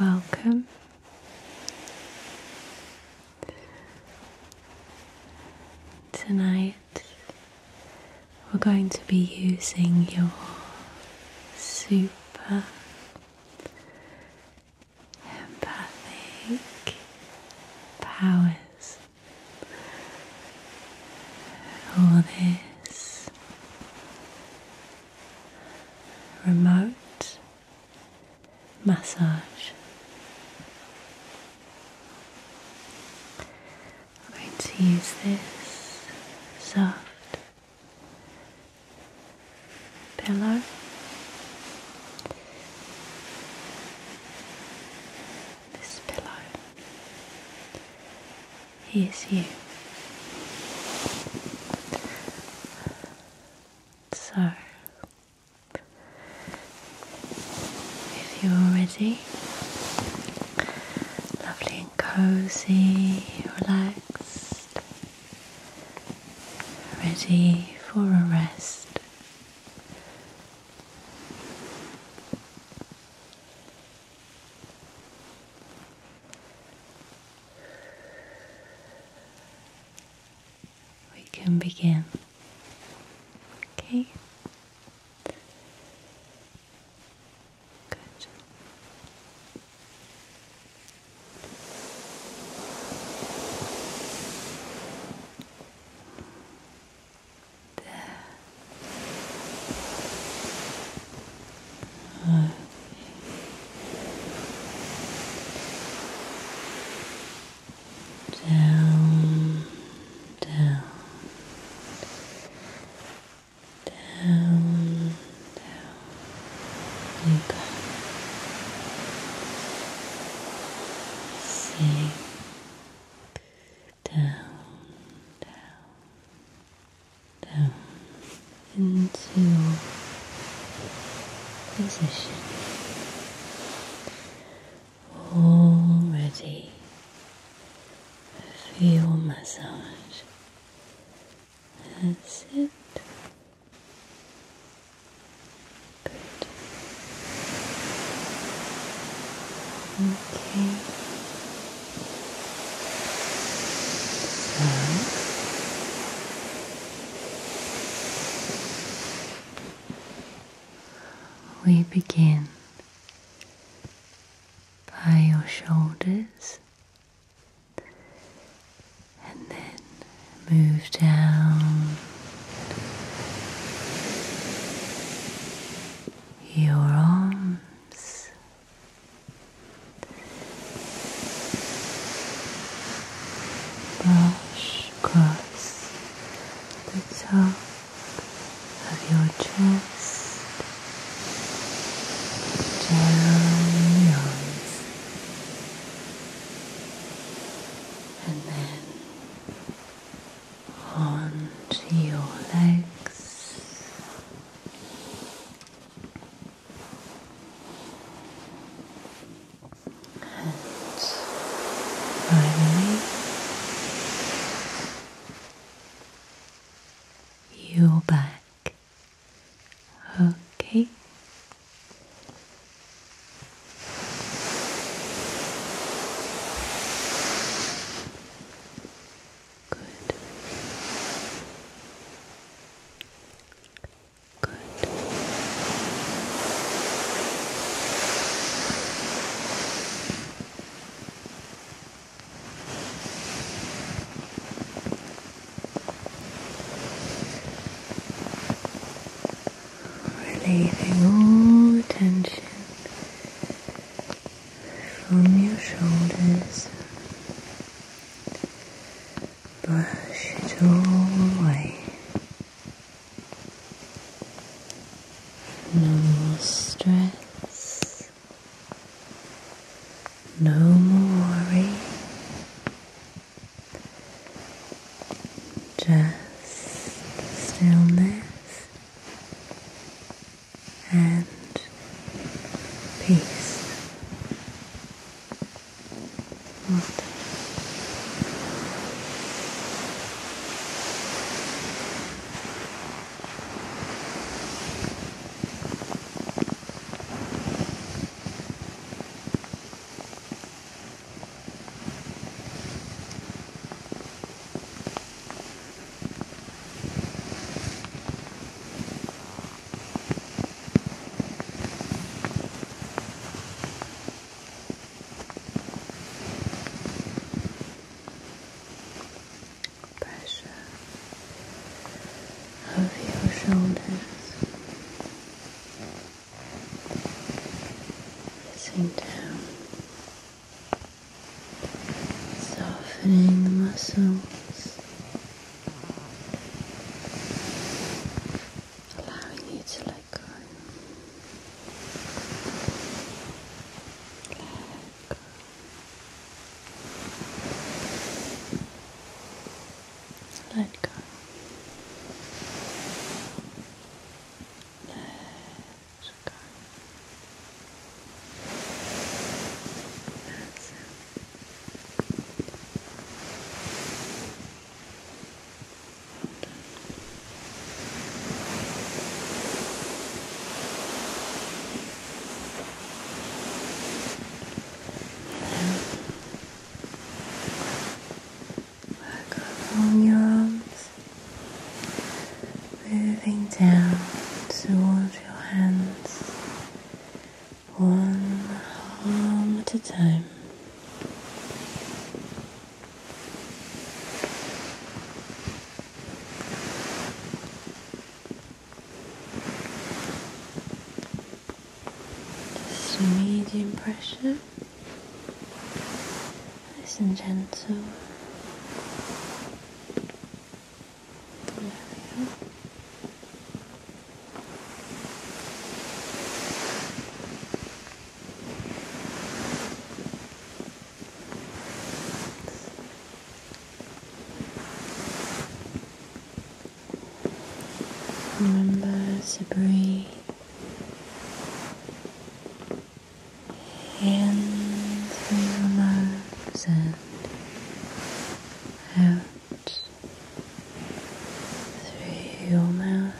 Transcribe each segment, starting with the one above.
Welcome. Tonight we're going to be using your super empathic powers. All this remote massage. I'm going to use this soft pillow. This pillow he is you. So, if you're ready, lovely and cozy, relaxed, ready for a rest. We can begin. Okay. Good. There. Okay. Down, down, down, down. You go. Sink down, down, down into position already for your massage. That's it. Good. Okay we begin by your shoulders and then move down your arms Brush across the top of your chest, down your arms, and then onto your legs. And finally, you're back. Okay. Good. Good. Relieving all tension from your shoulders. Brush it all away. No more stress, no more worry, just stillness and peace. Water pressure of your shoulders sink down softening the muscles, allowing you to let go. Let go. Let go. Let Sky. That's it. back up your arms moving down towards your hands, one arm at a time. Just medium pressure, nice and gentle. Remember to breathe Hands through your nose and out through your mouth.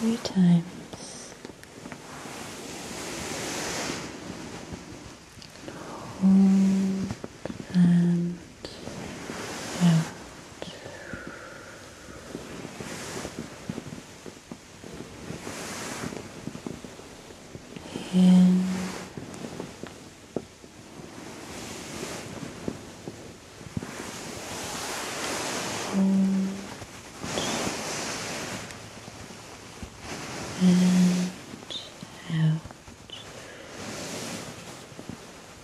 Three times. Hold and out. In and out.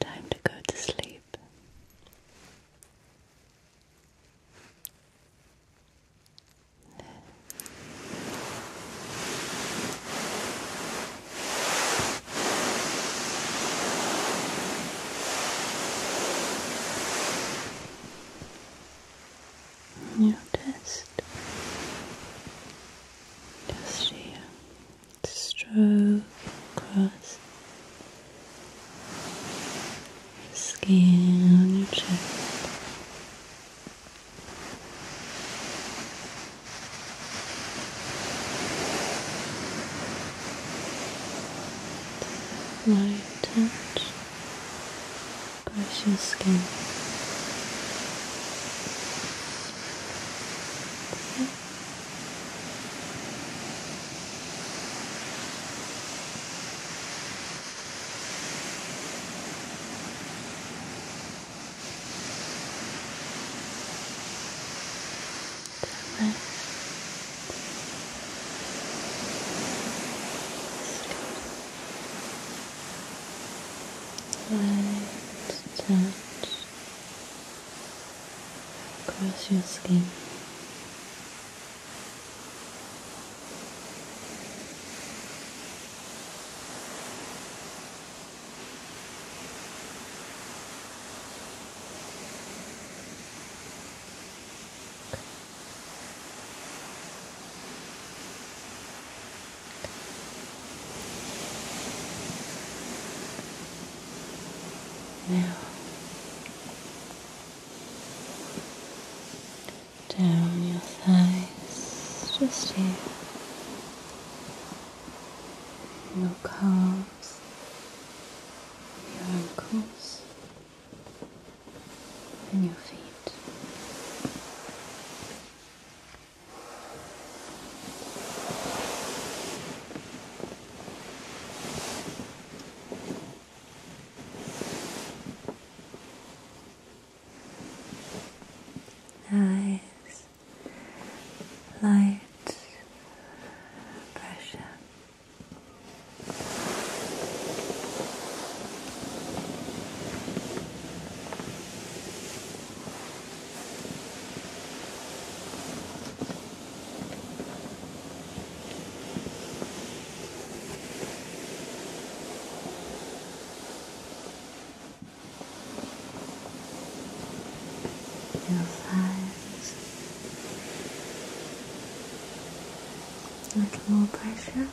Time to go to sleep. You just, just here, stroke across the skin on your chest. Light touch brush your skin. Okay. Light touch across your skin. Now, down your thighs, just here, your calves, your ankles and your feet. Nice light pressure your thighs a little more pressure. Okay.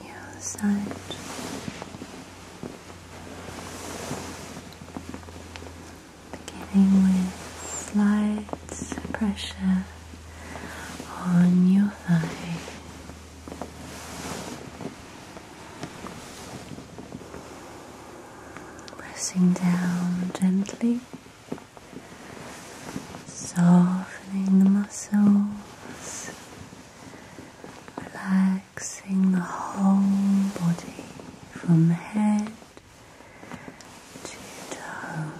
the other side. Beginning with slight pressure on your thigh. Pressing down gently softening the muscles, relaxing the whole body from head to toe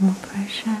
more pressure.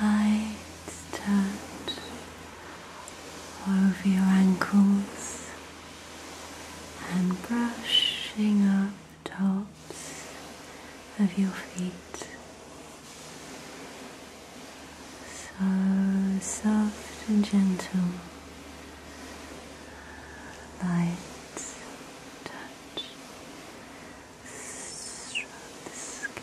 Lights touch over your ankles and brushing up the tops of your feet. So soft and gentle, light touch Stroke the skin.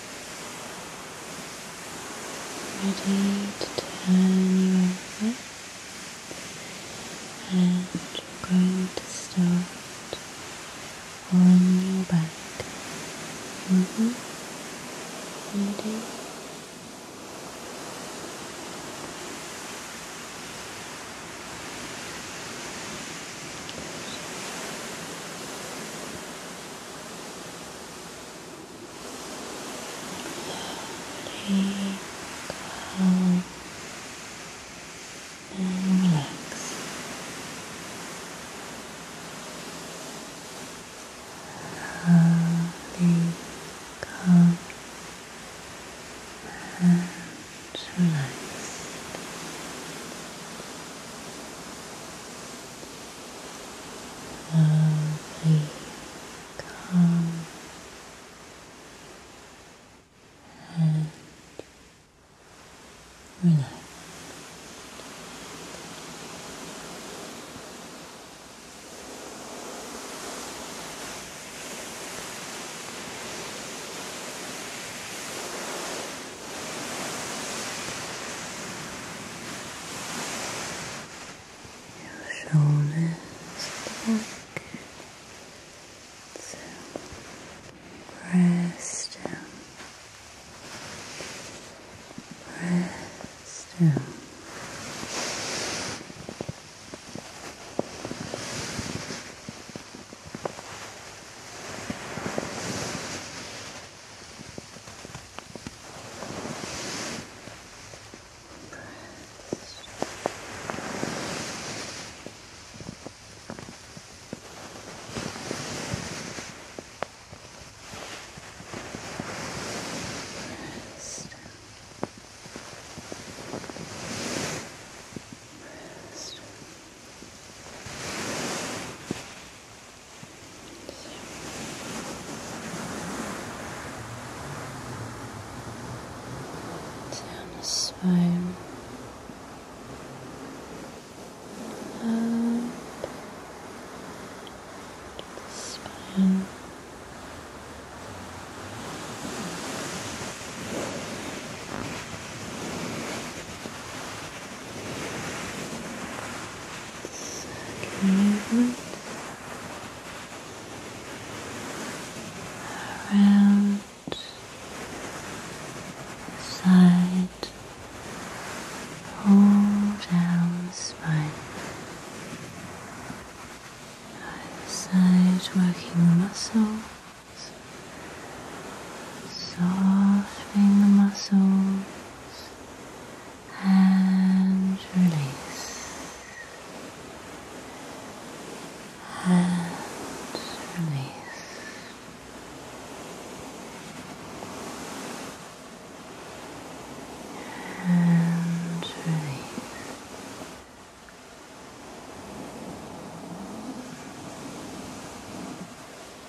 ready to turn you over and you're going to start on your back ready mm-hmm. Lovely, and relaxed. relaxed lovely, calm and relax. Your shoulders back, so press down, press down. Rest. Rest down the spine, up the spine. Second movement around the side, all down the spine. Either side, working the muscles, softening the muscles and release and release. And release.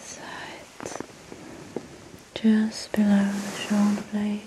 Sides, just below the shoulder blades,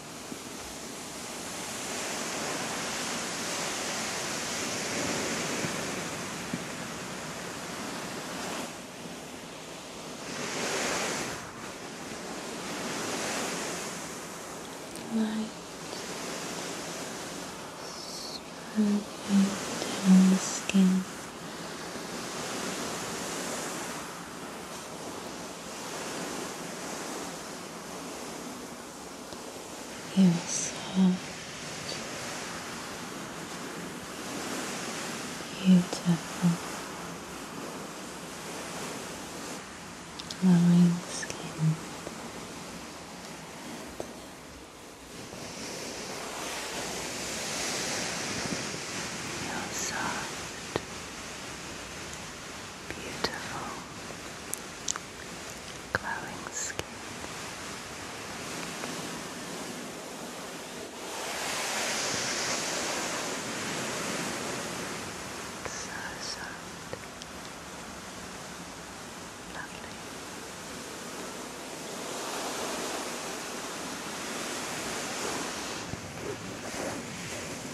Light spreading down the skin. Um, You're soft, beautiful, glowing skin. Feel soft, beautiful glowing skin. so soft, lovely.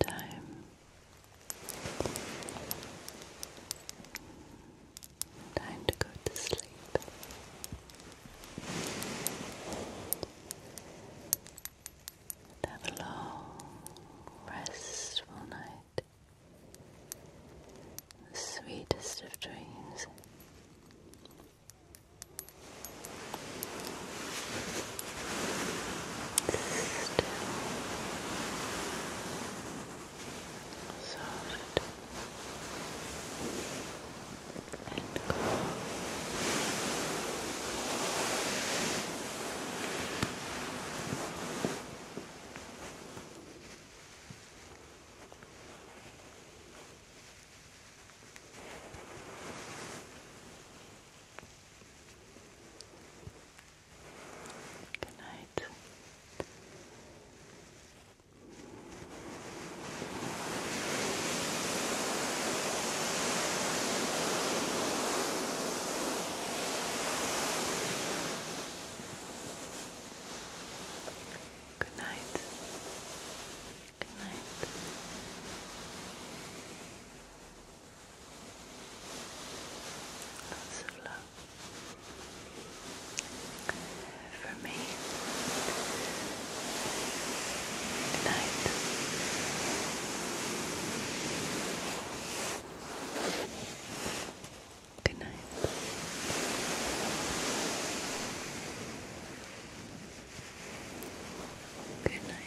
Time Time to go to sleep. And have a long, restful night. The sweetest of dreams soft and calm. Good night. Good night. Good night. Lots of love. For me, good night. Good night. Good night.